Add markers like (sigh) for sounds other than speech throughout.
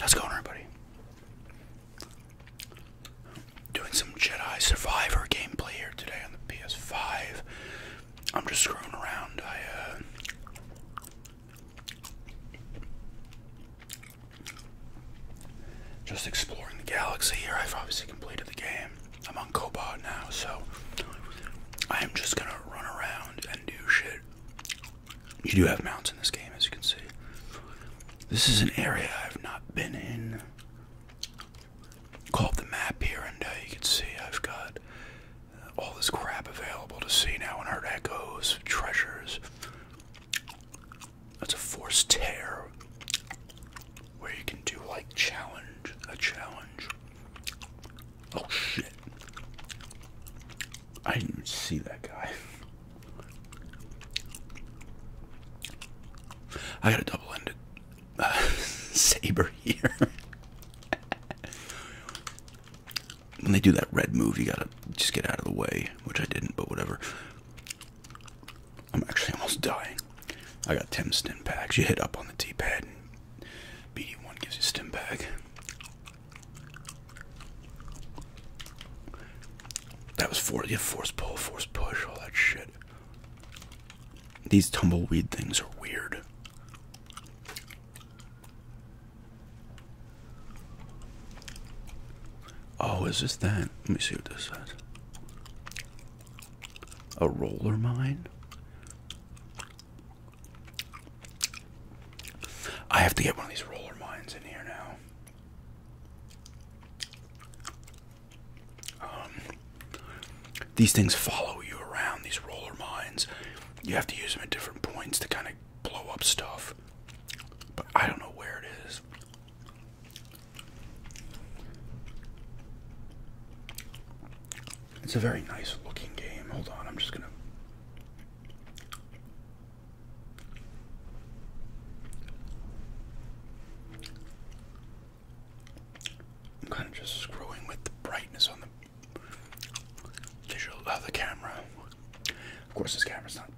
How's it going, everybody? Doing some Jedi Survivor gameplay here today on the PS5. I'm just screwing around. I, uh. Just exploring the galaxy here. I've obviously completed the game. I'm on Cobot now, so I am just gonna run around and do shit you do have mounts in this game, as you can see. This is an area I've not been in. Call up the map here, and uh, you can see I've got uh, all this crap available to see now in Heart Echoes, treasures. That's a forced tear where you can do like challenge, a challenge. Oh shit. I didn't see that guy. I got a double ended uh, (laughs) saber here. when they do that red move, you gotta just get out of the way, which I didn't, but whatever. I'm actually almost dying. I got 10 stim packs. You hit up on the T pad, BD1 gives you stim pack. That was force, yeah, force pull, force push, all that shit. These tumbleweed things are weird. Oh, is this that? Let me see what this is. A roller mine? I have to get one of these roller mines in here now. Um, these things follow you around, these roller mines. You have to use them at different points to kind of blow up stuff. But I don't know where it is. It's a very nice looking game. Hold on, I'm just gonna I'm kind of just screwing with the brightness on the digital of the camera. Of course, this camera's not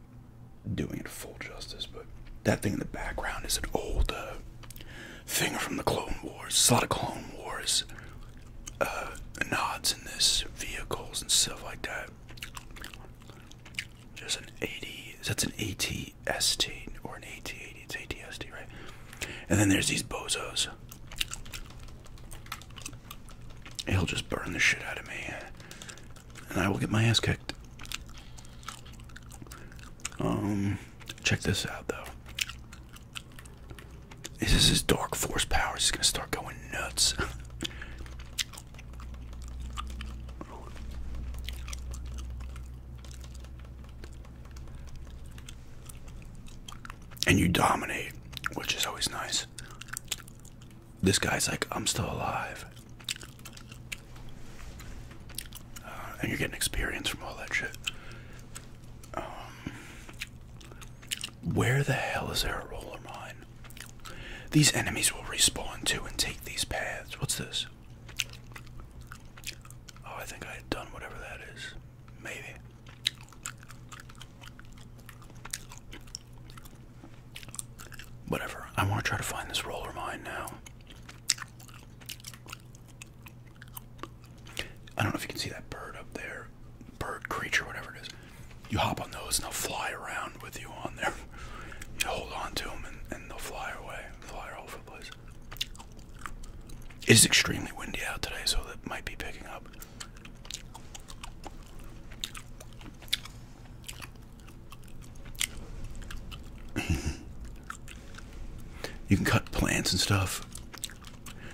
doing it full justice, but that thing in the background is an old thing from the Clone Wars. a lot of Clone Wars uh, nods in this, vehicles and stuff like that. Just an 80, that's an ATST or an AT80, it's ATST, right? And then there's these bozos. He'll just burn the shit out of me, and I will get my ass kicked. Um, check this out though. This is his dark force powers. He's gonna start going nuts. (laughs) and you dominate, which is always nice. This guy's like, I'm still alive. Uh, and you're getting experience from all that shit. Um, where the hell is there a roller mine? These enemies will respawn too and take these paths. What's this? Oh, I think I had done whatever that is. Maybe. Whatever. I want to try to find this roller mine now. I don't know if you can see that bird up there. Bird, creature, whatever it is you hop on those and they'll fly around with you on there. (laughs) You hold on to them and, they'll fly away, fly all over the place. It is extremely windy out today, so that might be picking up. (laughs) you can cut plants and stuff.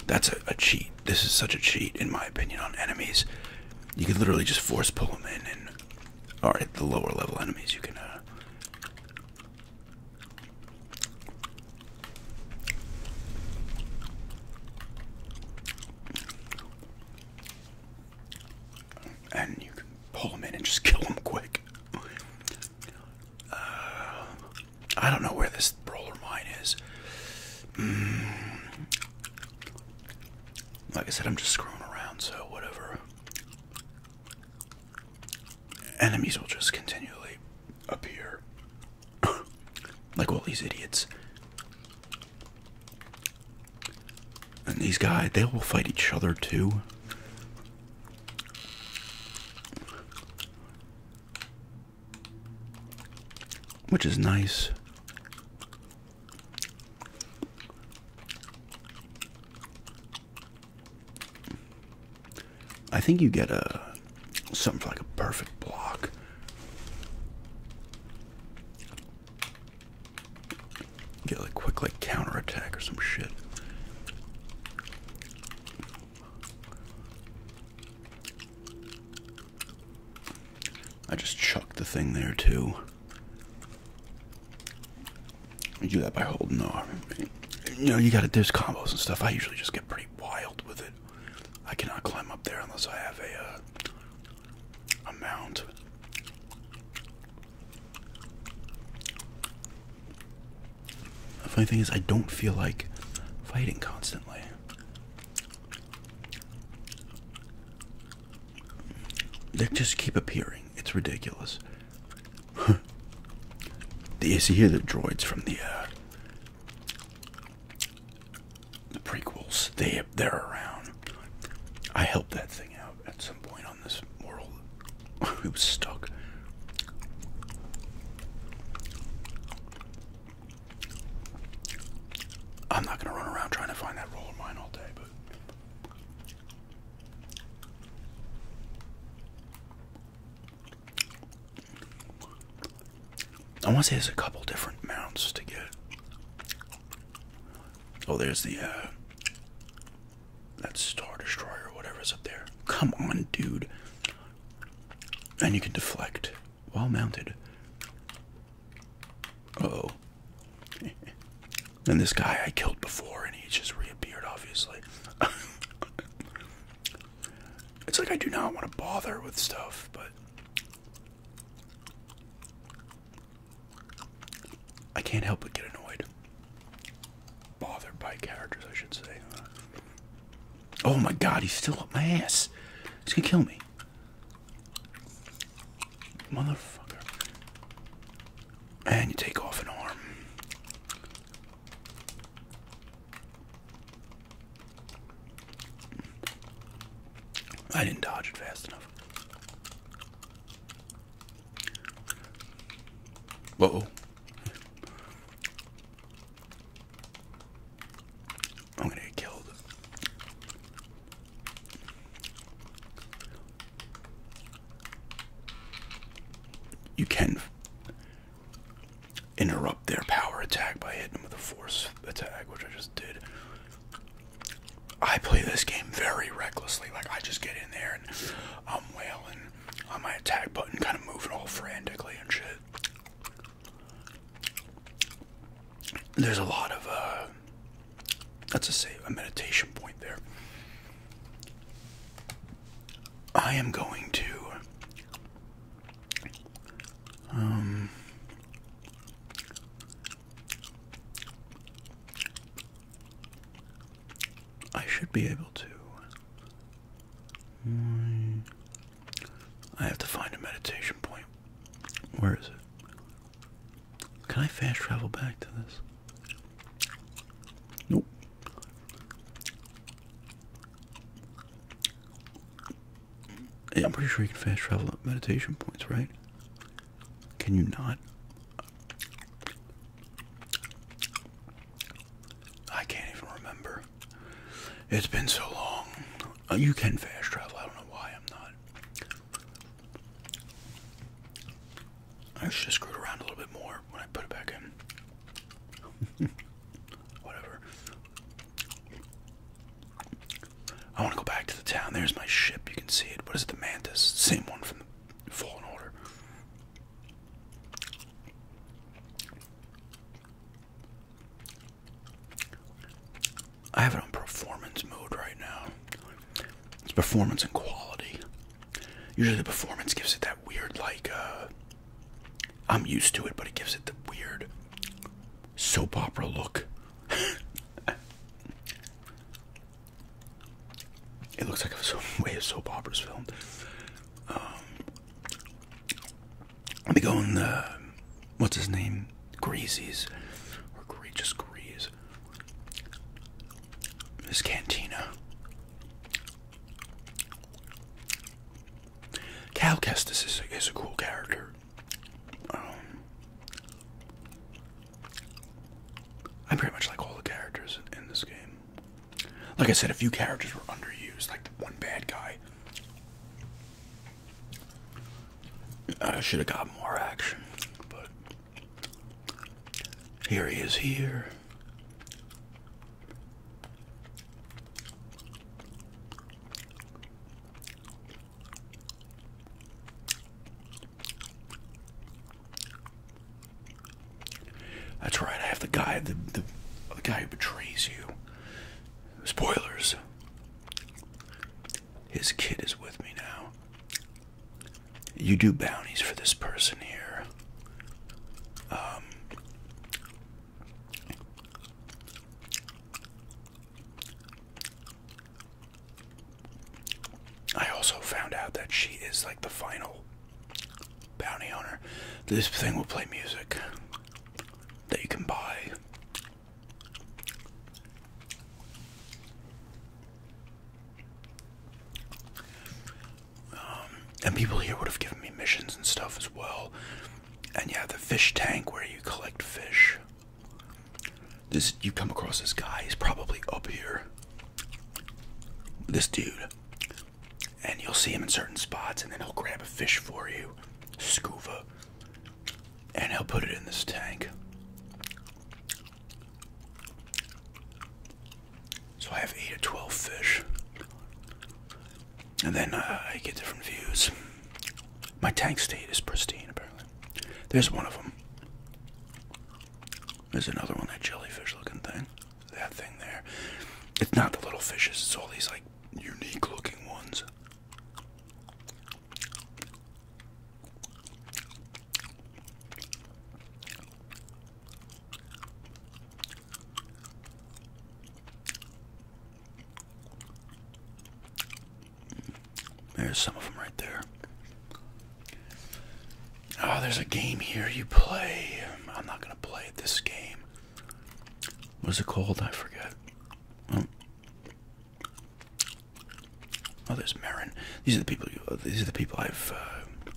That's a cheat. This is such a cheat, in my opinion, on enemies you can literally just force pull them in and all right the lower level enemies you can uh and you can pull them in and just kill them quick. Uh, I don't know where this roller mine is. Mm. Like I said, I'm just screwing around, so whatever. Enemies will just continually appear. (coughs) like all these idiots. And these guys, they will fight each other too. Which is nice. I think you get a something for like a perfect block. Get like quick like counter attack or some shit. I just chucked the thing there too. You do that by holding the arm. You know, you gotta do combos and stuff. I usually just get pretty wild with it. I cannot climb up there unless I have a, uh, a mount. The funny thing is, I don't feel like fighting constantly. They just keep appearing. It's ridiculous. (laughs) you see here the droids from the uh, the prequels. They they're around. I helped that thing out at some point on this world. (laughs) it was stuck. I'm not gonna run around trying to find that roll of mine all day, but I want to say there's a couple different mounts to get. Oh, there's the uh, that star destroyer or whatever's up there. Come on, dude. And you can deflect while mounted oh. and this guy I killed before, and he just reappeared, obviously. (laughs) it's like I do not want to bother with stuff, but. I can't help but get annoyed. Bothered by characters, I should say. Oh my god, he's still up my ass. He's gonna kill me. Motherfucker. And you take off an arm. I didn't dodge it fast enough. Uh I'm gonna get killed. You can interrupt their power attack by hitting them with a force attack, which I just did. I play this game very recklessly. Like, I just get in there and I'm wailing on my attack button, kind of moving all frantically and shit. There's a lot of uh, let's just say a meditation point there. I am going to um I should be able to hmm. I have to find a meditation point. Where is it? Can I fast travel back to this? Nope. I'm pretty sure you can fast travel up meditation points, right? Can you not? I can't even remember. It's been so long. Uh, you can fast travel. I don't know why I'm not. I should have screwed around a little bit more when I put it back in. (laughs) Whatever. I want to go back to the town. There's my ship. You can see it. What is it? The Mantis. Same one from the Fallen Order. I have it on performance mode right now. It's performance and quality. Usually the performance gives it that weird like uh I'm used to it, but it gives it the weird soap opera look. (laughs) it looks like a (laughs) way a soap opera's filmed. Um, let me go in the what's his name? Greasy's or Greatus Grease. His cantina. Cal Kestis is a, is a cool character. I'm um, pretty much like all the characters in this game. Like I said, a few characters were underused, like the one bad guy. I should have got more action, but here he is here. That's right. I have the guy, the, the, guy who betrays you. Spoilers. His kid is with me now. You do bounties for this person here. Um, I also found out that she is like the final bounty owner. This thing will play music that you can buy um, and people here would have given me missions and stuff as well. And yeah, the fish tank where you collect fish. This you come across this guy, he's probably up here. This dude. And you'll see him in certain spots and then he'll grab a fish for you. Scuba and I'll put it in this tank. So I have 8 to 12 fish. And then uh, I get different views. My tank state is pristine, apparently. There's one of them. There's another one, that jellyfish looking thing. That thing there. It's not the little fishes, it's all these like unique looking ones. There's some of them right there. Oh, there's a game here you play. I'm not going to play this game. What is it called? I forget. Oh. Oh, there's Marin. These are the people. Uh, these are the people I've. Uh,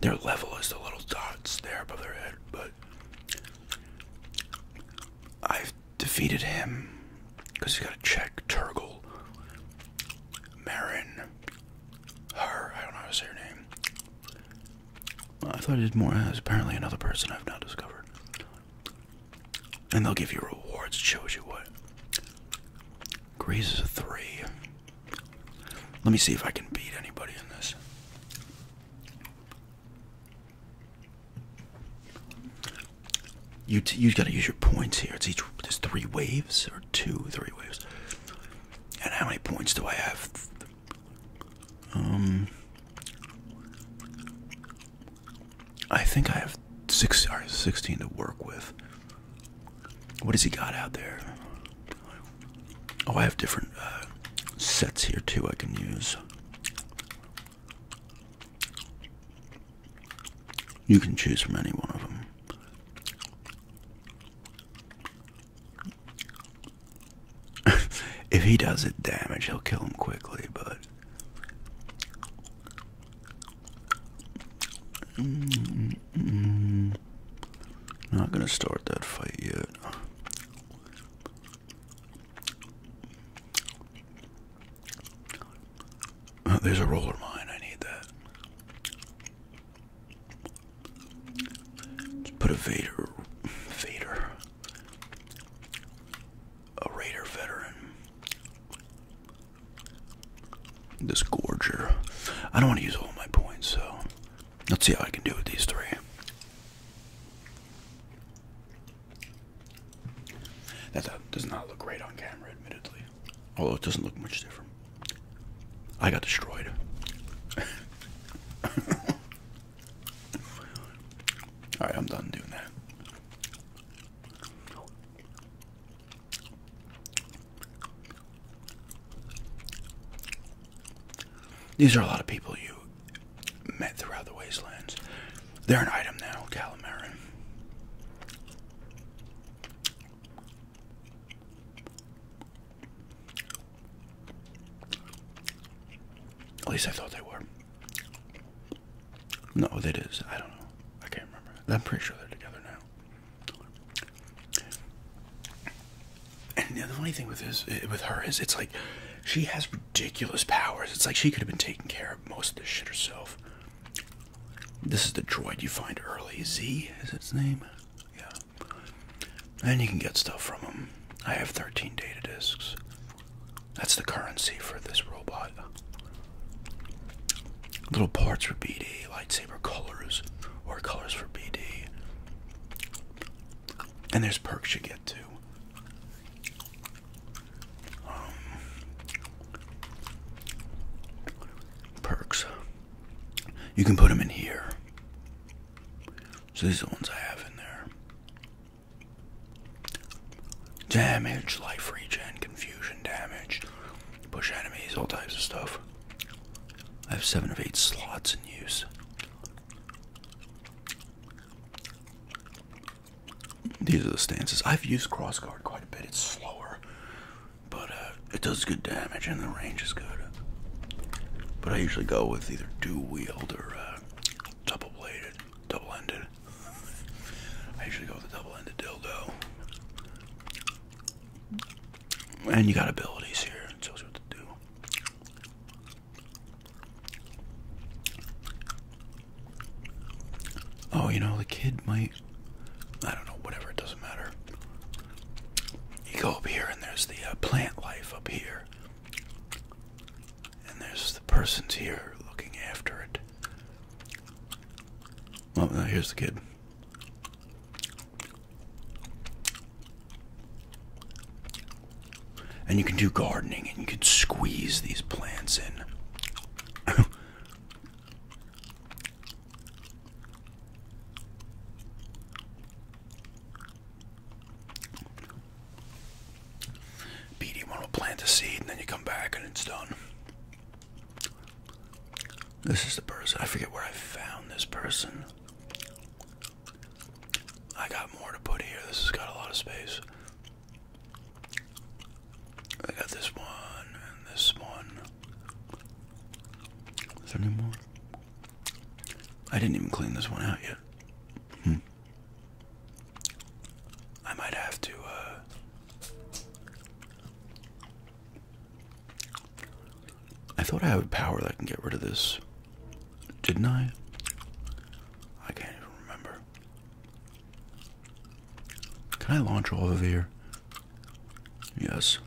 their level is the little dots there above their head, but I've defeated him because he's got to check Turgle, Marin, her. I don't know how to say her name. I thought he did more. As uh, apparently another person I've not discovered. And they'll give you rewards, shows you what. Grace is a three. Let me see if I can beat anybody in this. You t you gotta use your points here. It's each there's three waves or two, three waves. And how many points do I have? Um I think I have six sixteen to work with. What has he got out there? Oh, I have different uh, sets here too. I can use. You can choose from any one of them. (laughs) if he does it damage, he'll kill him quickly, but Mm-hmm. Not gonna start that fight yet. Oh, there's a roller mine, I need that. put a Vader, Vader, a Raider veteran. This gorger. I don't want to use all my points, so let's see how I can do with these three. That does not look great on camera, admittedly. Although it doesn't look much different. I got destroyed. (laughs) Alright, I'm done doing that. These are a lot of people you met throughout the wastelands. They're an item now, Calamari. At least I thought they were. No, that is. I don't know. I can't remember. I'm pretty sure they're together now. And the other funny thing with his, eh, with her is, it's like she has ridiculous powers. It's like she could have been taking care of most of this shit herself. This is the droid you find early. Z is its name. Yeah. And you can get stuff from him. I have 13 data discs. That's the currency for this robot little parts for BD, lightsaber colors, or colors for BD. And there's perks you get too. Um, perks. You can put them in here. So these are the ones I have in there. Damage, life regen, confusion damage, push enemies, all types of stuff. I have seven of eight slots in use. These are the stances. I've used crossguard quite a bit. It's slower, but uh, it does good damage and the range is good. But I usually go with either dual wield or uh, double bladed, double ended. I usually go with the double ended dildo. And you got abilities here. It what to do. Oh, you know, the kid might. I don't know, whatever, it doesn't matter. You go up here, and there's the uh, plant life up here. And there's the persons here looking after it. Well, now here's the kid. And you can do gardening and you can squeeze these plants in. BD1 will plant a seed and then you come back and it's done. This is the person. I forget where I found this person. I got more to put here. This has got a lot of space. I got this one and this one. Is there any more? I didn't even clean this one out yet. Hmm. I might have to, uh, I thought I had a power that can get rid of this. Didn't I? I can't even remember. Can I launch all of here? Yes.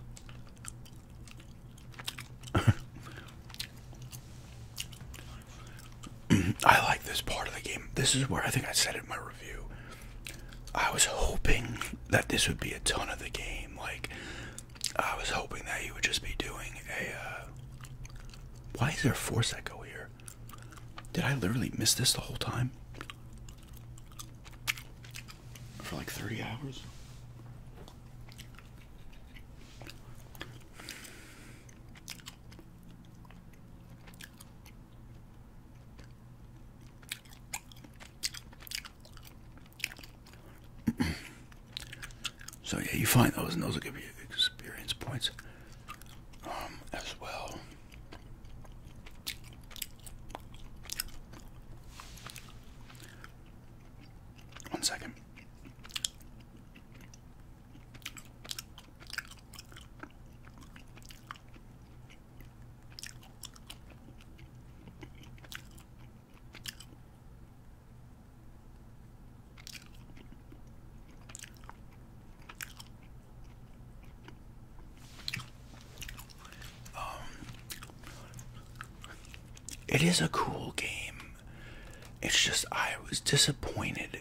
(laughs) I like this part of the game. This is where I think I set it in my I was hoping that this would be a ton of the game. Like, I was hoping that you would just be doing a. Uh, why is there force echo here? Did I literally miss this the whole time? For like three hours? (coughs) so yeah, you find those, and those will give you experience points um, as well. One second. Um, it is a cool game. It's just I was disappointed.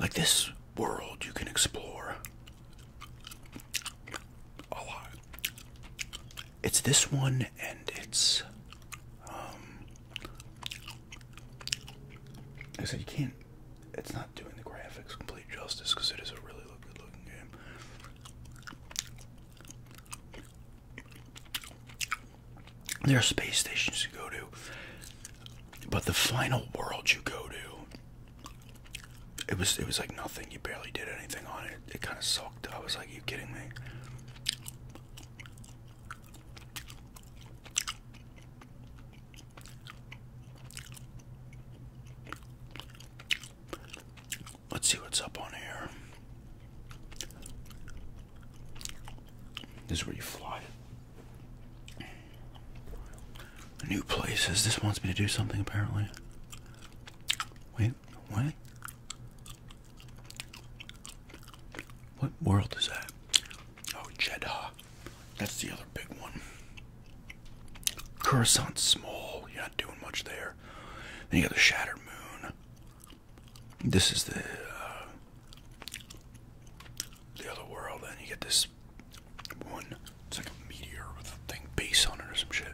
Like this world you can explore a lot. It's this one and it's um I said you can't it's not doing the graphics complete justice because it is a really look good looking game. There are space stations to go to, but the final world you go to it was it was like nothing. You barely did anything on it. It kind of sucked. I was like, Are you kidding me? Let's see what's up on here. This is where you fly New places. This wants me to do something apparently. Wait, what? What world is that? Oh, Jeddah. That's the other big one. Coruscant small. You're not doing much there. Then you got the Shattered Moon. This is the uh, the other world. and you get this one. It's like a meteor with a thing base on it or some shit.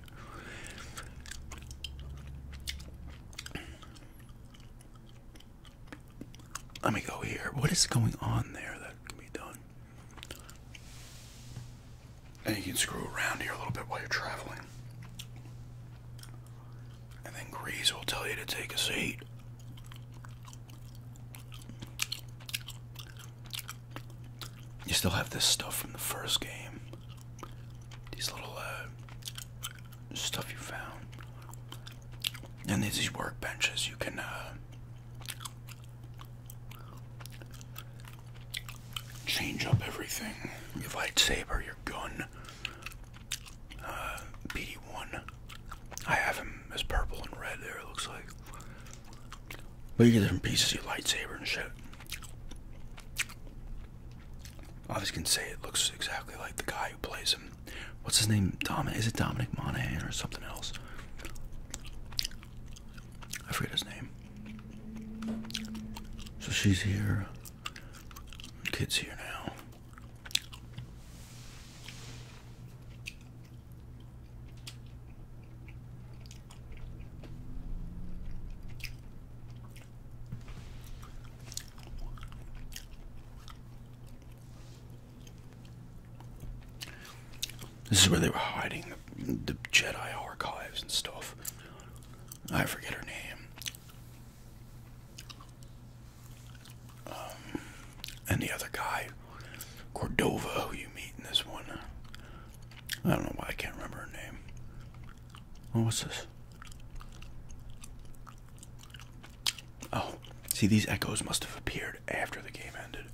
Let me go here. What is going on there that can be done? And you can screw around here a little bit while you're traveling. And then Grease will tell you to take a seat. You still have this stuff from the first game. These little uh, stuff you found. And there's these workbenches you can uh, change up everything. Your lightsaber, your gun. Uh, PD one I have him as purple and red there, it looks like. But you get different pieces, you lightsaber and shit. gonna say it looks exactly like the guy who plays him. What's his name? Dominic? Is it Dominic Monaghan or something else? I forget his name. So she's here. Kid's here now. This is where they were hiding the, Jedi archives and stuff. I forget her name. Um, and the other guy, Cordova, who you meet in this one, I don't know why I can't remember her name. Oh, what's this? Oh, see, these echoes must have appeared after the game ended.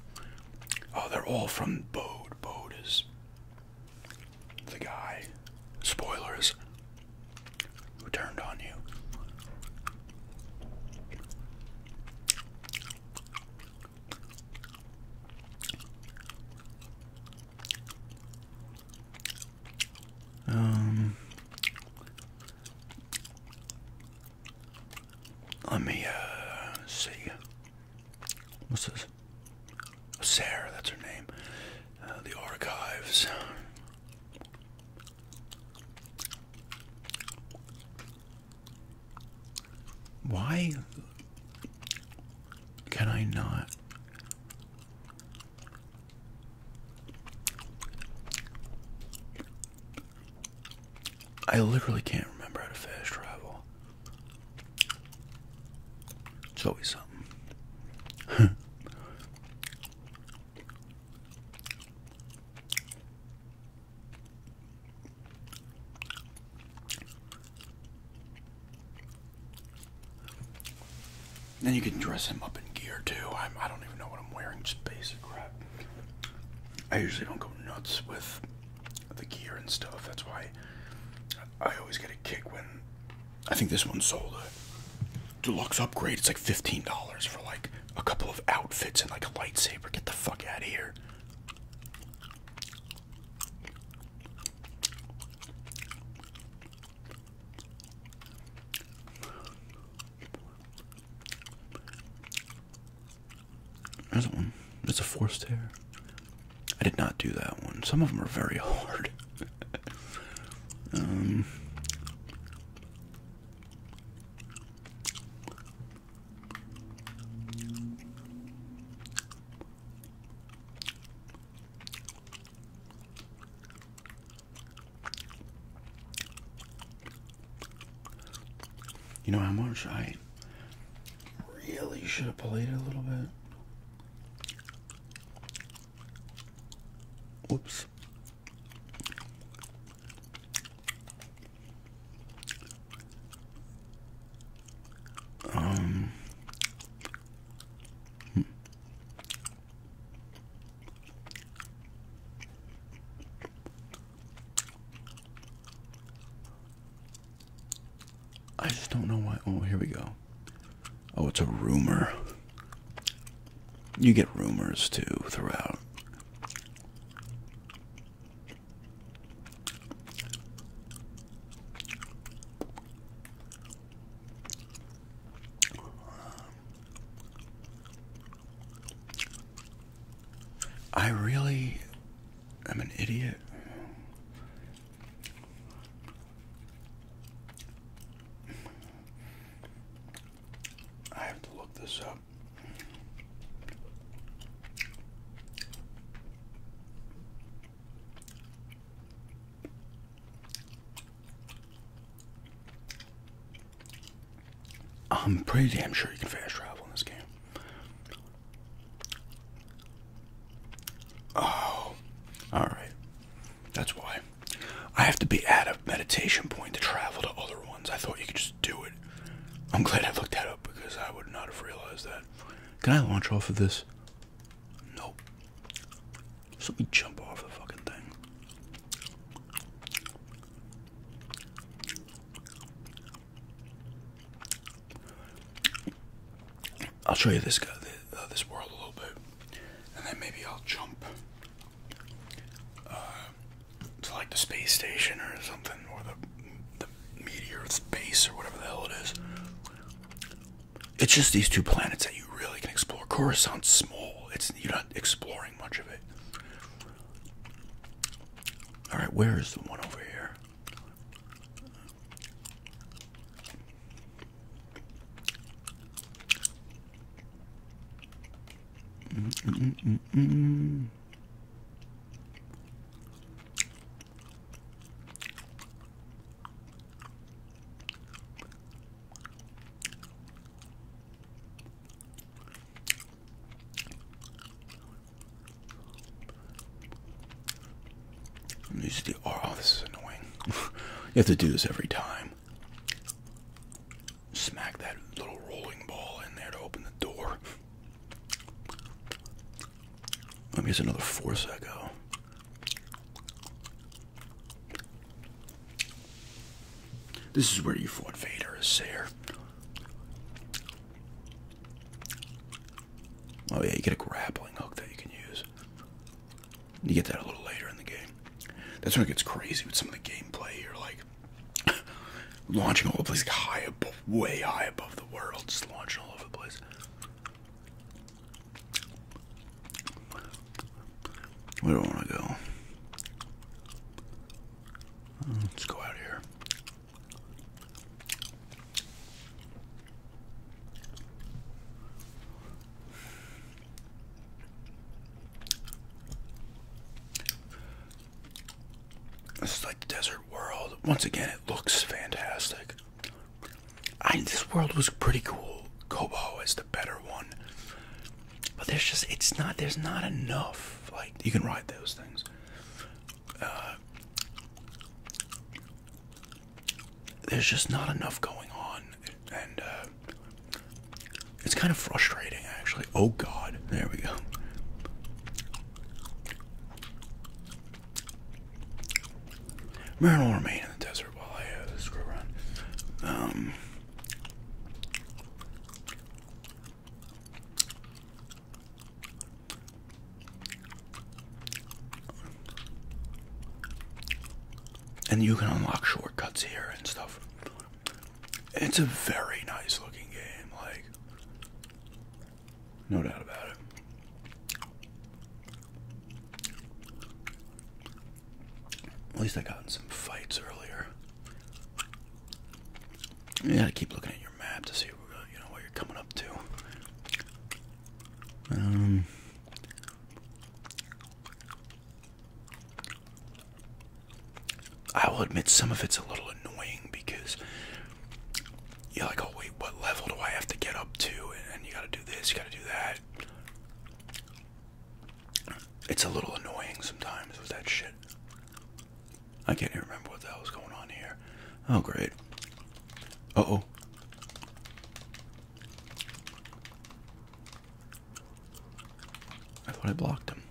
Oh, they're all from Bode. Bode is the guy. Spoilers. Who turned on you? Um, let me uh, see. What's this? Sarah, that's her name. Uh, the archives. Why can I not? I literally can't remember how to fast travel. It's always something. Then you can dress him up in gear too. I'm, I don't even know what I'm wearing, just basic crap. I usually don't go nuts with the gear and stuff. That's why I always get a kick when I think this one's sold a deluxe upgrade. It's like $15 for like a couple of outfits and like a lightsaber. Get the fuck out of here. There's one. There's a forced tear. I did not do that one. Some of them are very (laughs) hard. um. You know how much I really should have played it a little bit. Oops. Um, I just don't know why. Oh, here we go. Oh, it's a rumor. You get rumors too throughout. I really am an idiot. I have to look this up. I'm pretty damn sure you can fast travel in this game. Oh, all right. That's why I have to be at a meditation point to travel to other ones. I thought you could just do it. I'm glad I looked that up because I would not have realized that. Can I launch off of this? Nope. let me jump off the fucking thing. I'll show you this guy, uh, this world a little bit, and then maybe I'll jump uh, to like the space station or something, or the the meteor, its base, or whatever the hell it is it's just these two planets that you really can explore. Coruscant's small. It's you're not exploring much of it. All right, where is the one over here? Mm, mm, mm, these are the oh, this is annoying. (laughs) you have to do this every time. Smack that little rolling ball in there to open the door. Let me use another force echo. This is where you fought Vader as Sayer. Oh yeah, you get a grappling hook that you can use. You get that a little later in the game. That's when it gets crazy with some of the gameplay. You're like (laughs) launching all over the place, like high up, way high above the world, just launching all over the place. We don't want to go. Let's go out here. This is like desert world. Once again, it looks fantastic. I this world was pretty cool. Kobo is the better one. But there's just it's not there's not enough like you can ride those things. Uh, there's just not enough going on, and uh, it's kind of frustrating actually. Oh God, there we go. Marin will remain in the desert while I uh, screw around. Um, and you can unlock shortcuts here and stuff. It's a very nice looking game. Like, no doubt about it. At least I got in some fights earlier. gotta keep looking at your map to see uh, you know what you're coming up to. Um, I will admit some of it's a little annoying because you're like, oh wait, what level do I have to get up to? And you gotta do this, you gotta do that. It's a little annoying sometimes with that shit. I can't even remember what the hell was going on here. Oh great. Oh oh. I thought I blocked him.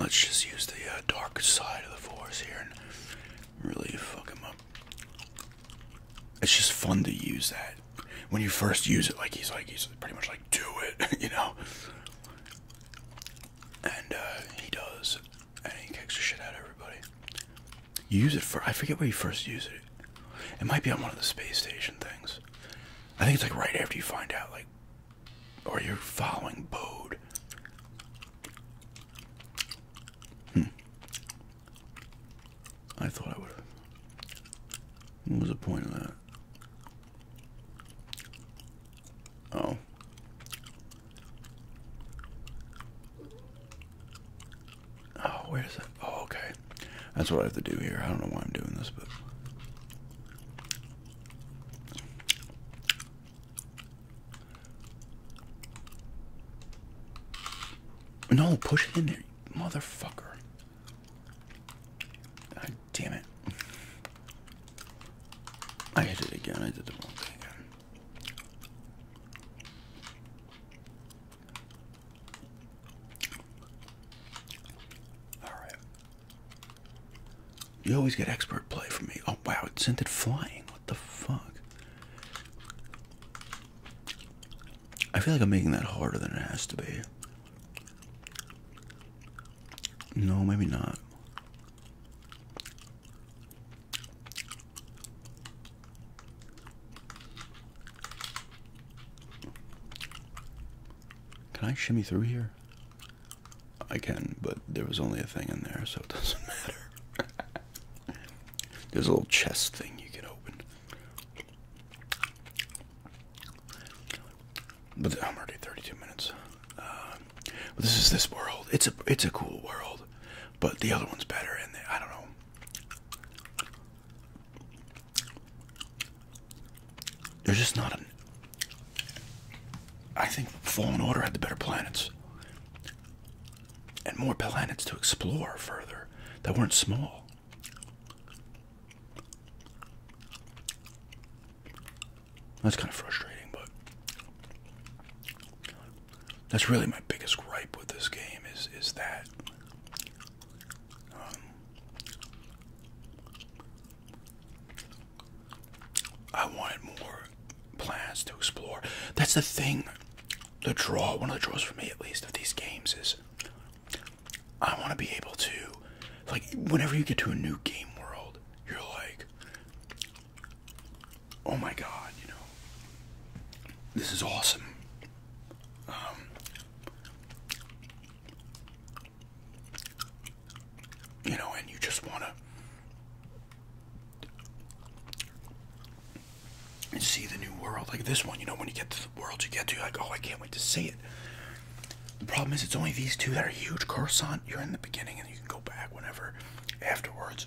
Let's just use the uh, dark side of the force here and really fuck him up. It's just fun to use that when you first use it. Like he's like he's pretty much like do it, (laughs) you know. And uh, he does, and he kicks the shit out of everybody. You use it for I forget where you first use it. It might be on one of the space station things. I think it's like right after you find out, like, or you're following Bode. Hmm. I thought I would What was the point of that? Oh. Oh, wait a sec. Oh, okay. That's what I have to do here. I don't know why I'm doing this, but. No, push it in there, motherfucker. God damn it. I hit it again. I did the wrong thing Alright. You always get expert play from me. Oh wow, it sent it flying. What the fuck? I feel like I'm making that harder than it has to be. No, maybe not. Can I shimmy through here? I can, but there was only a thing in there, so it doesn't (laughs) matter. There's a little chest thing you can open. But I'm already 32 minutes. Uh, this is this world. It's a it's a cool world, but the other one's better. And I don't know. There's just not an. I think Fallen Order had the better planets and more planets to explore further that weren't small. That's kind of frustrating, but that's really my biggest gripe with this game is is that um, I wanted more plans to explore. That's the thing the draw, one of the draws for me at least, of these games is I want to be able to, like, whenever you get to a new game world, you're like, oh my god, you know, this is awesome. Um, you know, and you just want to and see the new world. Like this one, you know, when you get to the world you get to, like, oh, I can't wait to see it. The problem is, it's only these two that are huge. Coruscant, you're in the beginning and you can go back whenever afterwards.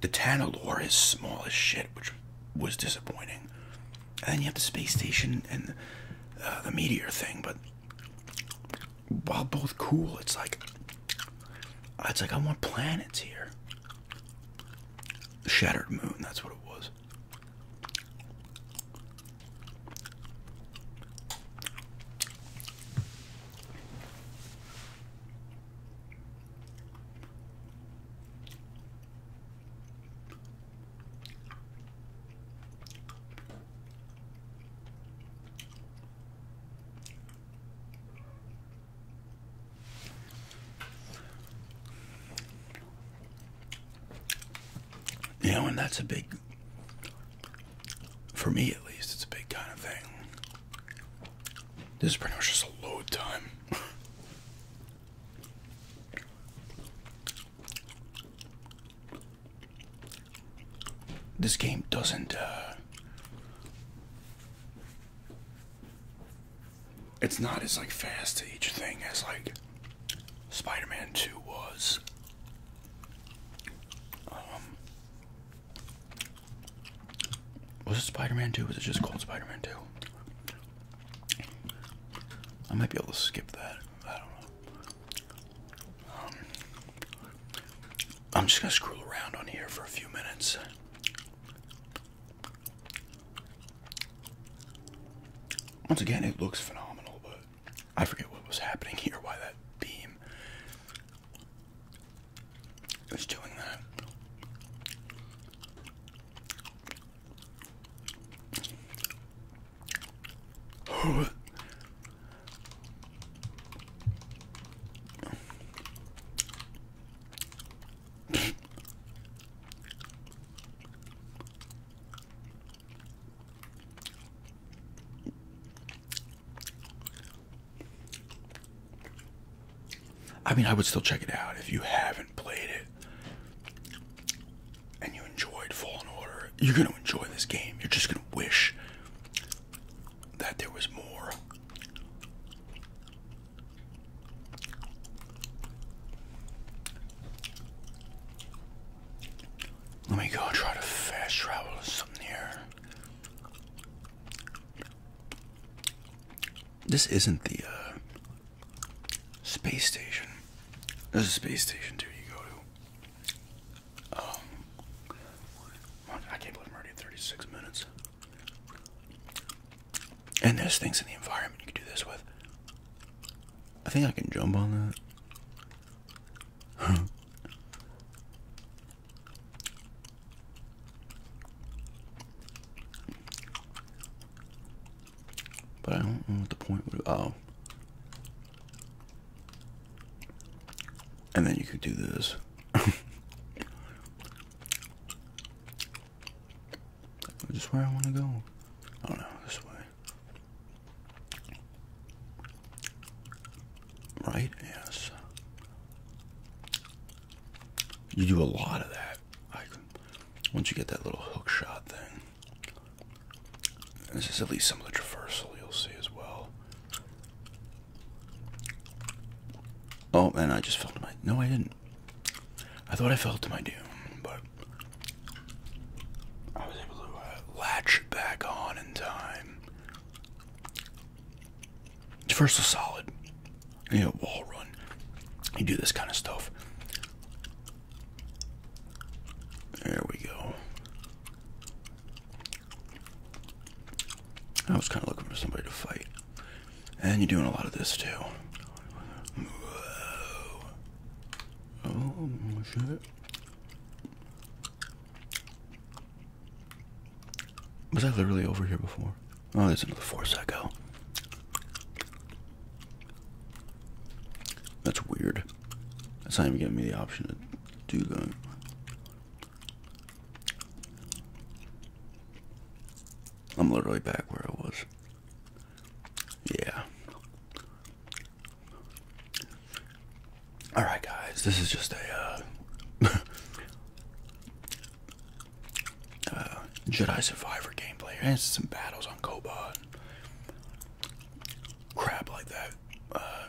The Tantalore is small as shit, which was disappointing. And then you have the space station and uh, the meteor thing, but while both cool, it's like it's like I want planets here. Shattered Moon, that's what it was. You know, and that's a big, for me at least, it's a big kind of thing. This is pretty much just a load time. (laughs) this game doesn't, uh, it's not as like fast to each thing as like Spider-Man 2 was. Um, was it Spider-Man 2? Was it just called Spider-Man 2? I might be able to skip that. I don't know. Um, I'm just gonna scroll around on here for a few minutes. Once again, it looks phenomenal, but I forget what was happening here, why that beam is doing that. I mean, I would still check it out if you haven't played it and you enjoyed Fallen Order. You're going to enjoy this game. You're just going to wish that there was more. Let me go try to fast travel to This isn't the uh, space station. There's a space station too you go to. Oh, I can't believe I'm already at 36 minutes. And there's things in the environment you can do this with. I think I can jump on that. (laughs) but I don't know what the point would oh. And then you could do this. (laughs) Is where I want to go? Oh no, this way. Right? Yes. You do a lot of that. Like, once you get that little hook shot thing. This is at least some of the traversal you'll see as well. Oh, man, I just felt my... No, I didn't. I thought I fell to my doom, but I was able to uh, latch back on in time. First, was solid, you know, wall run. You do this kind of stuff. There we go. I was kind of looking for somebody to fight. And you're doing a lot of this too. Was I literally over here before? Oh, there's another force I go. That's weird. That's not even giving me the option to do that. I'm literally back where I was. Yeah. Alright, guys, this is just a uh, (laughs) uh, Jedi Survivor gameplay. And some battles on Koba crap like that. Uh,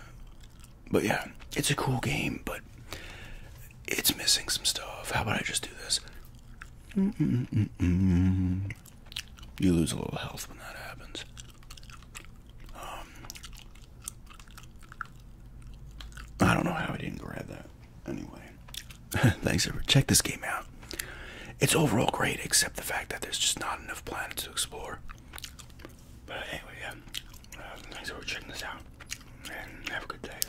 but yeah, it's a cool game, but it's missing some stuff. How about I just do this? You lose a little health when that happens. Um, I don't know how I didn't grab that. Anyway, (laughs) thanks everyone. Check this game out. It's overall great, except the fact that there's just not enough planets to explore. But anyway, yeah. Uh, thanks for checking this out, and have a good day.